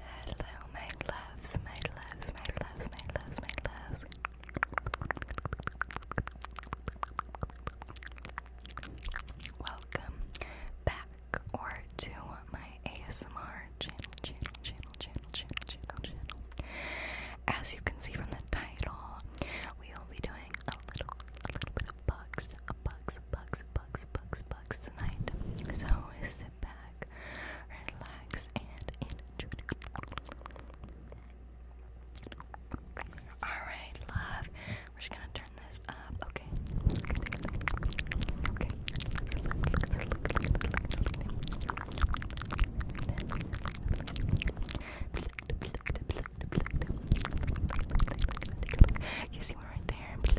Hello, my loves, my loves, my loves, my loves, my loves. Welcome back or to my ASMR channel, channel, channel, channel, channel, channel, channel. As you can see from the title, we will be doing a little, a little bugs, bugs, bugs, bugs, bugs, bugs. Starbucks tonight. So sit back, relax, and enjoy. Alright, love. We're just gonna turn this up, okay? Okay. You see one right there.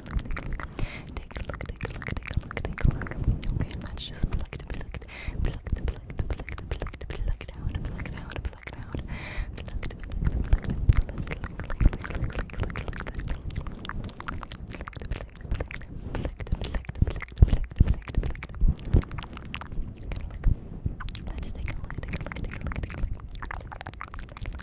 take a look, take a look, take a look, take a look, take a look, take a look. Okay, let's just pluck it, pluck it, pluck it, pluck it, pluck it, pluck it, pluck it out, pluck it out, pluck it out, pluck it, pluck it, pluck it. Let's look, look, look, look, look, look, look. Let's take a look, take a look, take a look, take a look.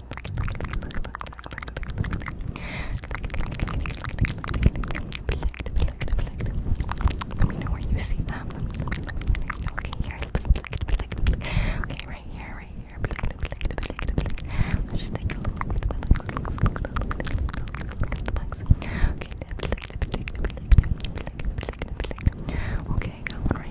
Let me know where you see them. Okay, here. Okay, right here, right here. Let's just take a look at the bugs. The bugs. Okay, okay, one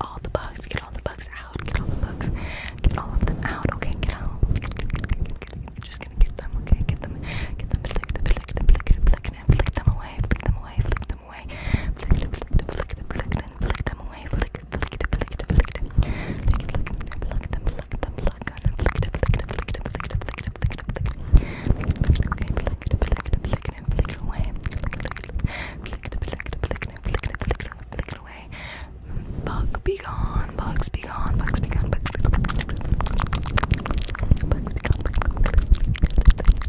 all the bugs, get all the bugs out, get all the bugs, get all of them out, okay, get out. Just gonna get them, okay, get them, get them, flick, flick, flick, flick, flick, flick, flick them away, flick them away, flick them away. Flick them, flick them, flick them, flick them away. Flick, flick, flick, flick, flick, flick them, flick them, flick them, flick them, flick them, flick them, flick them, flick them, flick them, flick them, flick them, flick them, okay, flick them, flick them, flick them, flick them away. Flick them, flick them, flick them, flick them, flick them, flick them, flick them away. Bug be gone, bugs be gone, bugs be gone, bugs be gone, bugs be gone, bugs be gone.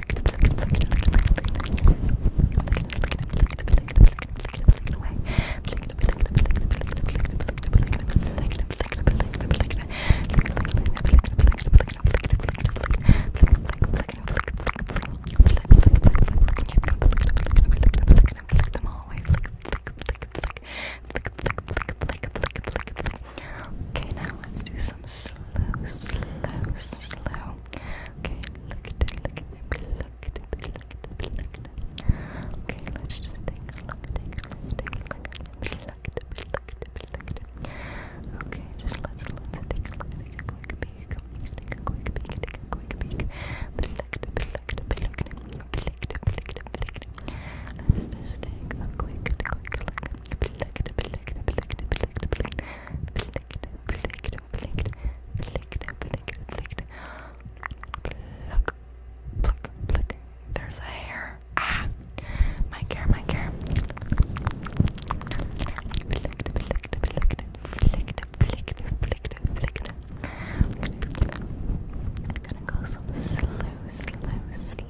Okay, now let's do some slow, slow, slow Okay, look at it, look at it, look at it, look at it, look at it. Okay, let's just take a look, take a look, take a look, look at it, look at it, look at it. Okay, just let's let's take a look, take a quick peek, take a quick peek, take a quick peek. Look at it, look at it, look at it, look at it, look at it. Let's just take a quick, quick look. Look at it, look at it, look at it, there's a hair. Ah, my hair, my hair.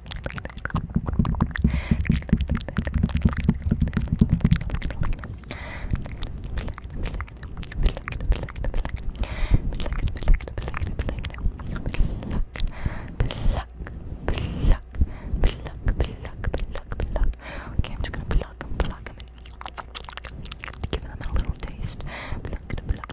Okay, I'm just gonna pluck them, pluck them, give them a little taste. Pluck, pluck.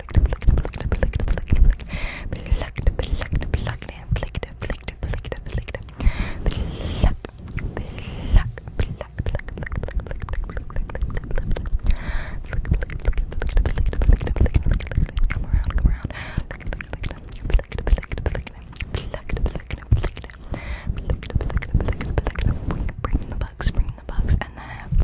Come around, come around. Bring the bugs, bring the bugs, and then I have the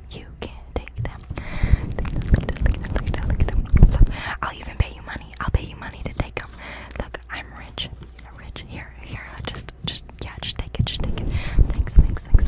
You can take them. Look, I'll even pay you money. I'll pay you money to take them. Look, I'm rich. I'm rich. Here, here. Just, just, yeah. Just take it. Just take it. Thanks, thanks, thanks.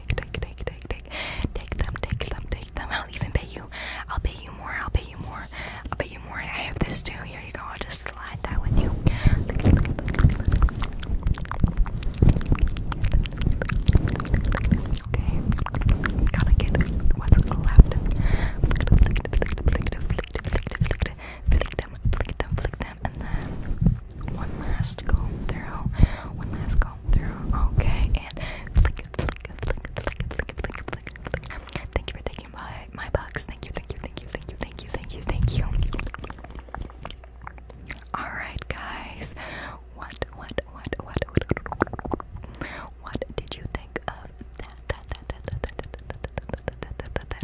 take, them, take them, take them. I'll even pay you. I'll pay you more. I'll pay you more. I'll pay you more. I have this too. Here you go. I'll just slide that with you. Okay. Gotta get them, flick them, flick them, flick them, flick them, flick them, and then one last go through, one last go through, okay, and flick, flick, Thank you for taking my, my box, thank you, thank you, thank you, thank you, thank you, thank you, thank you. Alright guys, what, what, what, what, what, what did you think of that, that, that, that, that, that, that, that, that, that, that,